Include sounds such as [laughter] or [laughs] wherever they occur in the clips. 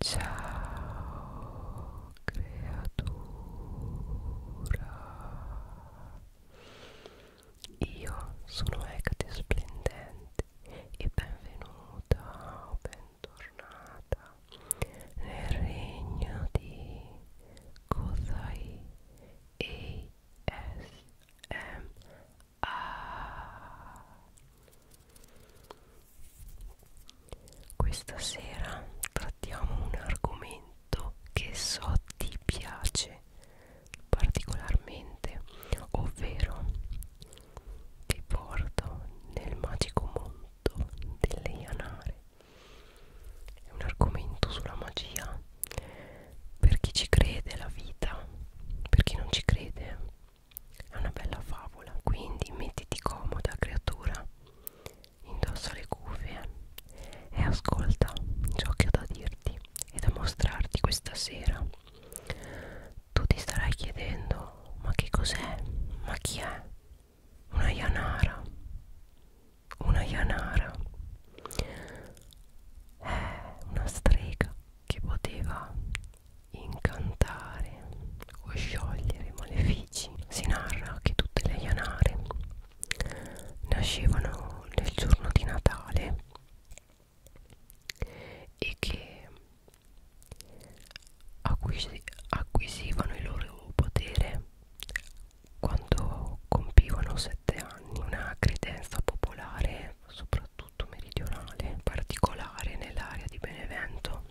Ciao creatura Io sono Ecate Splendente e benvenuta o bentornata nel regno di Kozai Questa sera trattiamo un argomento che so ti piace particolarmente, ovvero ti porto nel magico mondo delle Ianare. È un argomento sulla magia per chi ci crede la vita, per chi non ci crede è una bella favola, quindi mettiti comoda, creatura, indossa le cuffie e ascolta ciò che ho da dirti e da mostrarti questa sera. Tu ti starai chiedendo, ma che cos'è? Ma chi è? Una Yanara. Una Yanara. È una strega che poteva incantare o sciogliere malefici. Si narra che tutte le Janare nascevano nel giorno di Natale e che acquisi acquisivano il loro potere quando compivano sette anni. Una credenza popolare, soprattutto sottomeridionale particolare nell'area di Benevento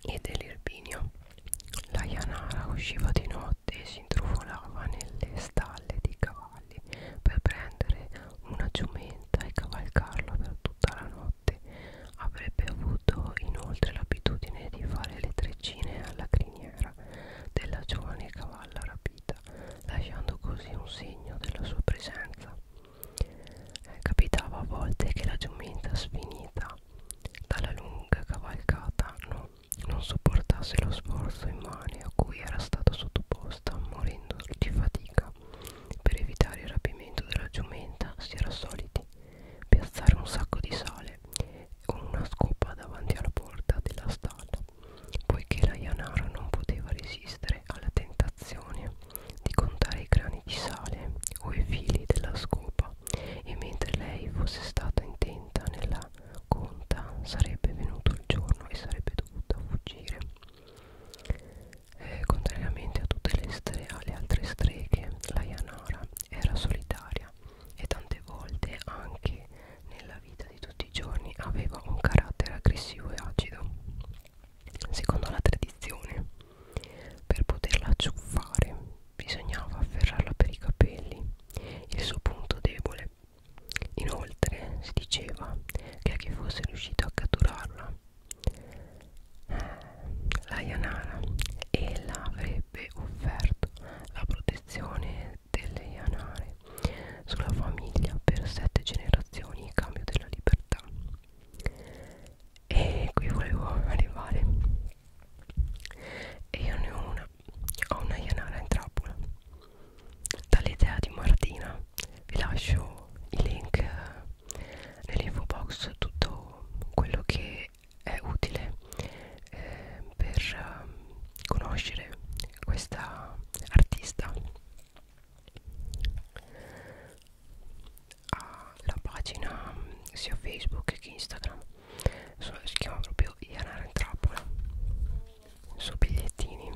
e dell'Irpinio. La Ianara usciva di notte e si intrufolava nelle stalle dei cavalli per prendere una giumenta e cavalcarla per tutta la notte. Avrebbe avuto inoltre l'abitudine di fare le treccine alla criniera della giovane cavalla rapita, lasciando così un segno della sua presenza eh, capitava a volte che la giumenta sfinita dalla lunga cavalcata no, non sopportasse lo sforzo immane a cui era stata sottoposta morendo di fatica per evitare il rapimento della giumenta si era soliti piazzare un sacco di sale con una scopa davanti alla porta della stalla poiché la Yanara non poteva resistere alla tentazione di contare i grani di sale o i fili della scopa e mentre lei fosse stata intenta nella conta sarebbe venuto il giorno e sarebbe dovuta fuggire. Eh, contrariamente a tutte le, le altre streghe, la Yanara era solitaria e tante volte anche nella vita di tutti i giorni aveva un carattere aggressivo e acido. Secondo la tradizione, per poterla acciuffare bisognava afferrarla per i capelli, il suo punto debole. Inoltre si diceva che a chi fosse riuscito a catturarla, la Yanara, ella avrebbe offerto la protezione delle Yanare sulla famiglia per sette generazioni in cambio della libertà chiaro e qui volevo arrivare e io ne ho una ho una Ianara in trappola dall'idea di Martina vi lascio i link eh, nell'info box tutto quello che è utile eh, per eh, conoscere questa artista ha ah, la pagina sia Facebook che Instagram so, si chiama proprio Ianara in trappola su bigliettini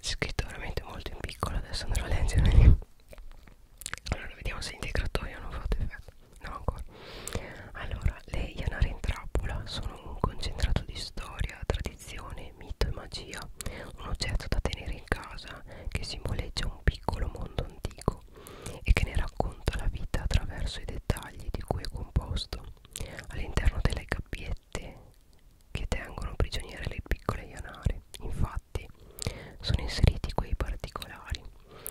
scritto veramente molto in piccolo adesso andrò a leggere allora vediamo se l'integratore non fa effetto no ancora allora le Ianara in trappola sono un concentrato di storia tradizione edizione Mito e Magia, un oggetto da tenere in casa che simboleggia un piccolo mondo antico e che ne racconta la vita attraverso i dettagli di cui è composto. All'interno delle gabbiette che tengono prigioniere le piccole ianare, infatti, sono inseriti quei particolari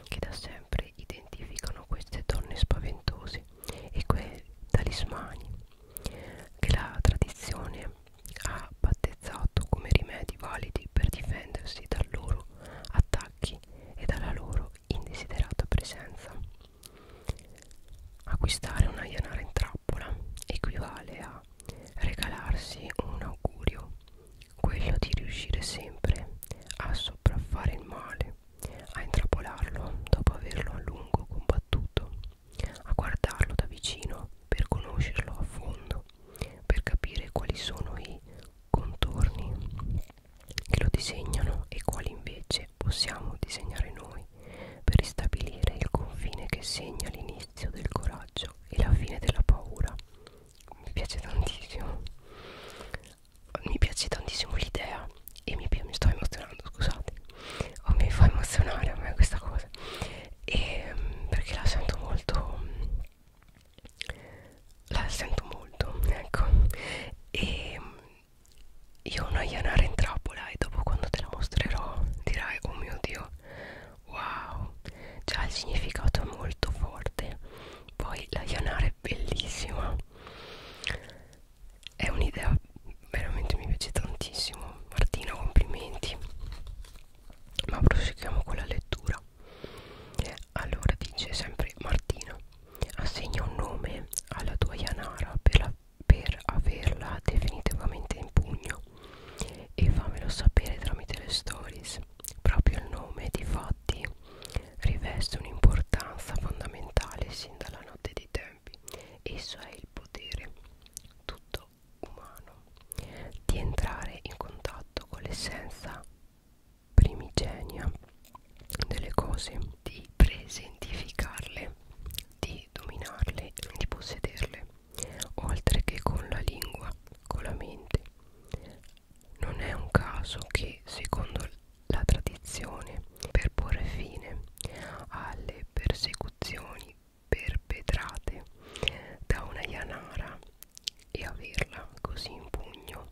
che da sempre identificano queste donne spaventose e quei talismani che la tradizione ha battezzato come rimedi validi per difendersi dai loro attacchi e dalla loro indesiderata presenza. Acquistare una ianara in trappola equivale a regalarsi un augurio, quello di riuscire sempre a sopraffare il male, a intrappolarlo dopo averlo a lungo combattuto a guardarlo da vicino per conoscerlo a fondo, per capire quali sono i contorni che lo disegnano e quali invece possiamo disegnare noi per ristabilire il confine che segna l'inizio del coraggio e la fine della paura. Mi piace tantissimo, mi piace tantissimo l'idea e mi, mi sto emozionando, scusate o mi fa emozionare a me questa cosa e, perché la sento molto la sento molto ecco e io ho una ianara in trappola e dopo quando te la mostrerò dirai oh mio dio wow già cioè, il significato è molto forte poi la ianara è bellissima è un'idea veramente mi piace tantissimo Martina complimenti ma proseguiamo con la lettura allora dice sempre Martina assegna un nome alla tua Yanara per, la, per averla definitivamente in pugno e fammelo sapere tramite le stories proprio il nome di fatti riveste un'importanza fondamentale sin dalla notte di te tempi esso è il potere tutto umano di entrare in contatto con l'essenza primigenia delle cose di presentificarle di dominarle di possederle oltre che con la lingua con la mente non è un caso che secondo la tradizione per porre fine alle persecuzioni esecuzioni perpetrate da una Yanara e averla così in pugno,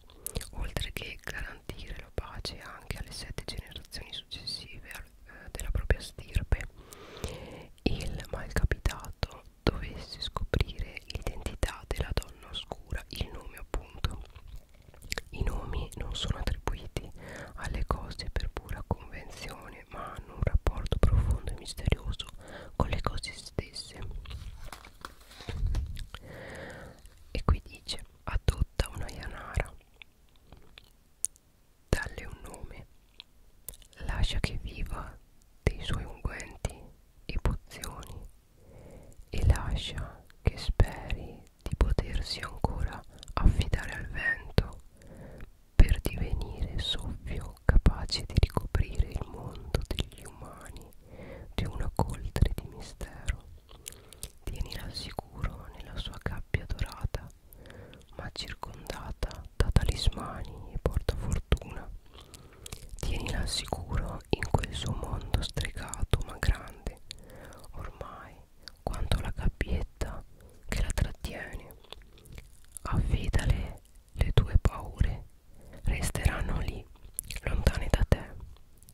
oltre che garantire la pace anche alle sette generazioni successive eh, della propria stirpe, il malcapitato dovesse scoprire l'identità della donna oscura, il nome appunto. I nomi non sono attribuiti alle cose per pura convenzione ma hanno un rapporto profondo e misterioso con le cose stesse e qui dice adotta una Yanara dalle un nome lascia che viva dei suoi unguenti e pozioni e lascia che speri di potersi ancora affidare al vento per divenire soffio capace di ricoprire il mondo degli umani di una coltre di mistero. Tienila al sicuro nella sua gabbia dorata, ma circondata da talismani e portafortuna. Tienila al sicuro in quel suo mondo stregato ma grande, ormai quanto la gabbietta che la trattiene. Affidale le tue paure, resteranno lì, lontane da te,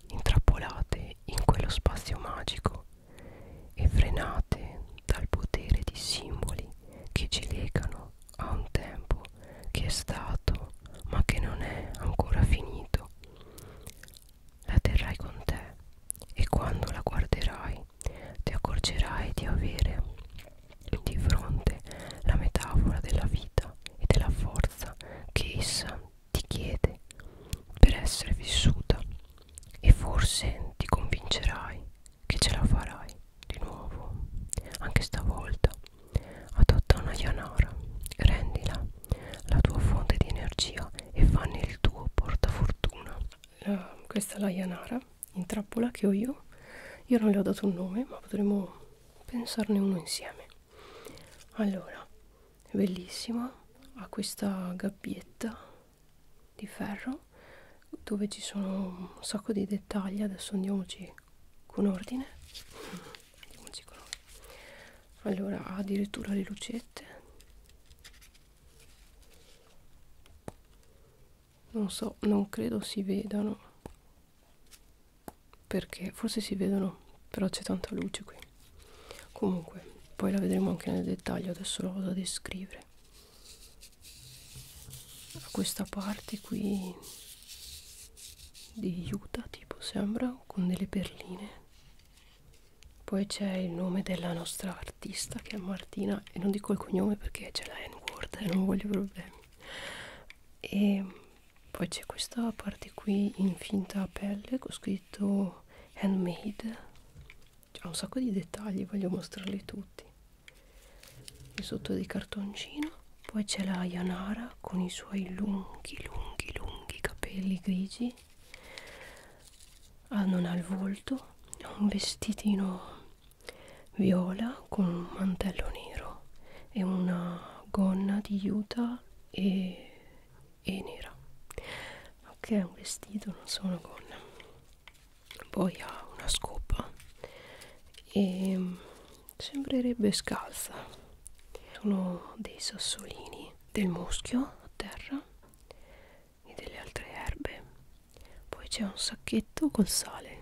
intrappolate in quello spazio magico e frenate dal potere di simboli che ci legano a un tempo che è stato ma che non è ancora finito la terrai con te e quando la guarderai ti accorgerai di avere di fronte la metafora della vita e della forza che essa ti chiede per essere vissuta e forse ti convincerai che ce la farai di nuovo anche stavolta adotta una yanara rendila la tua fonte di energia e fanne il tuo portafortuna fortuna la, questa è la Yanara in trappola che ho io io non le ho dato un nome ma potremmo pensarne uno insieme allora è bellissima ha questa gabbietta di ferro dove ci sono un sacco di dettagli adesso andiamoci con ordine andiamoci con ordine allora ha addirittura le lucette non so non credo si vedano perché forse si vedono però c'è tanta luce qui comunque poi la vedremo anche nel dettaglio adesso la vado a descrivere a questa parte qui di Utah tipo sembra con delle perline poi c'è il nome della nostra artista che è Martina e non dico il cognome perché c'è la N-word e eh, non voglio problemi. E poi c'è questa parte qui in finta pelle con scritto handmade. C'è un sacco di dettagli, voglio mostrarli tutti. E sotto di cartoncino. Poi c'è la Yanara con i suoi lunghi, lunghi, lunghi capelli grigi ah, non ha il volto ha un vestitino viola con un mantello nero e una gonna di juta e, e nera ok è un vestito non so una gonna poi ha una scopa e mm, sembrerebbe scalza sono dei sassolini del muschio a terra e delle altre erbe poi c'è un sacchetto col sale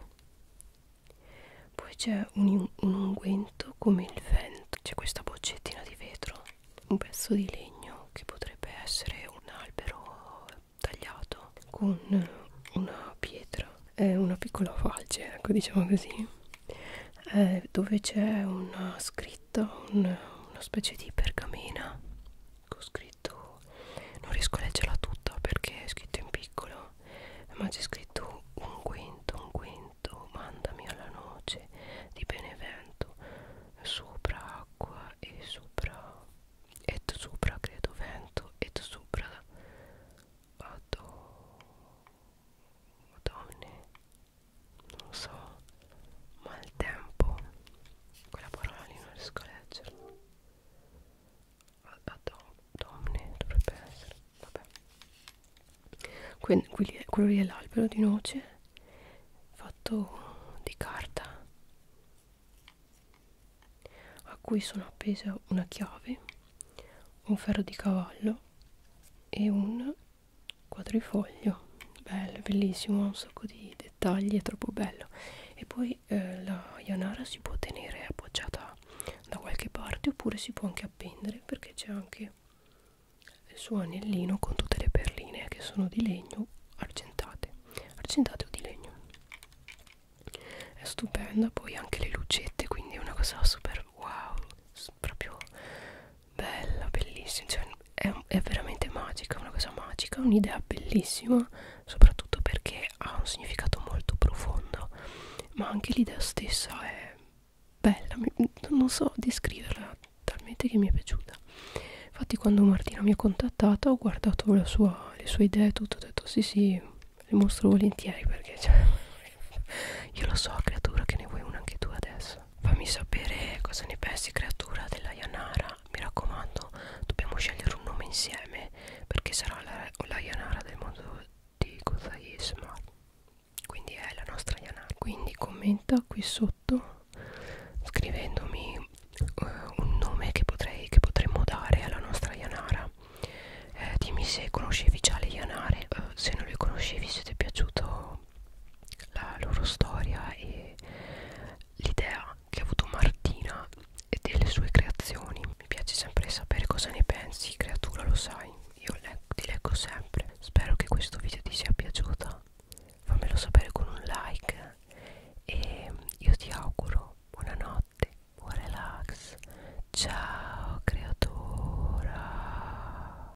poi c'è un, un unguento come il vento c'è questa boccettina di vetro un pezzo di legno che potrebbe essere un albero tagliato con una pietra è una piccola falce ecco diciamo così eh, dove c'è una scritta scritto un, una specie di pergamena con scritto non riesco a leggerla tutta perché è scritto in piccolo ma c'è scritto un quinto un quinto mandami alla noce di Benevento sopra acqua e sopra et sopra credo vento et sopra vado Madonna non lo so maltempo quella parola lì non riesco a leggerla Adom domne dovrebbe essere vabbè que que quello lì è l'albero di noce fatto di carta a cui sono appesa una chiave un ferro di cavallo e un quadrifoglio bello, bellissimo ha un sacco di dettagli è troppo bello e poi eh, la Yanara si può tenere appoggiata da qualche parte oppure si può anche appendere perché c'è anche il suo anellino con tutte le perline che sono di legno argentate argentate o di legno è stupenda poi anche le lucette quindi è una cosa super wow proprio bella, bellissima, cioè è, è veramente magica, una cosa magica, un'idea bellissima, soprattutto perché ha un significato molto profondo, ma anche l'idea stessa è bella, non so descriverla talmente che mi è piaciuta. Infatti quando Martina mi ha contattata ho guardato la sua, le sue idee e tutto, ho detto sì sì, le mostro volentieri perché cioè, [laughs] io lo so creatura che ne vuoi una anche tu adesso cosa fammi sapere cosa ne pensi creatura della Yanara mi raccomando dobbiamo scegliere un nome insieme perché sarà la, la Yanara del mondo di Gozaisma quindi è la nostra Yanara quindi commenta qui sotto scrivendomi uh, un nome che, potrei, che potremmo dare alla nostra Yanara eh, dimmi se conoscevi già le Yanare uh, se non le conoscevi se ti è piaciuto la loro storia e l'idea che ha avuto Martina e delle sue creazioni. Mi piace sempre sapere cosa ne pensi, creatura, lo sai, io le ti leggo sempre. Spero che questo video ti sia piaciuto, fammelo sapere con un like e io ti auguro buonanotte, buon relax, ciao creatura.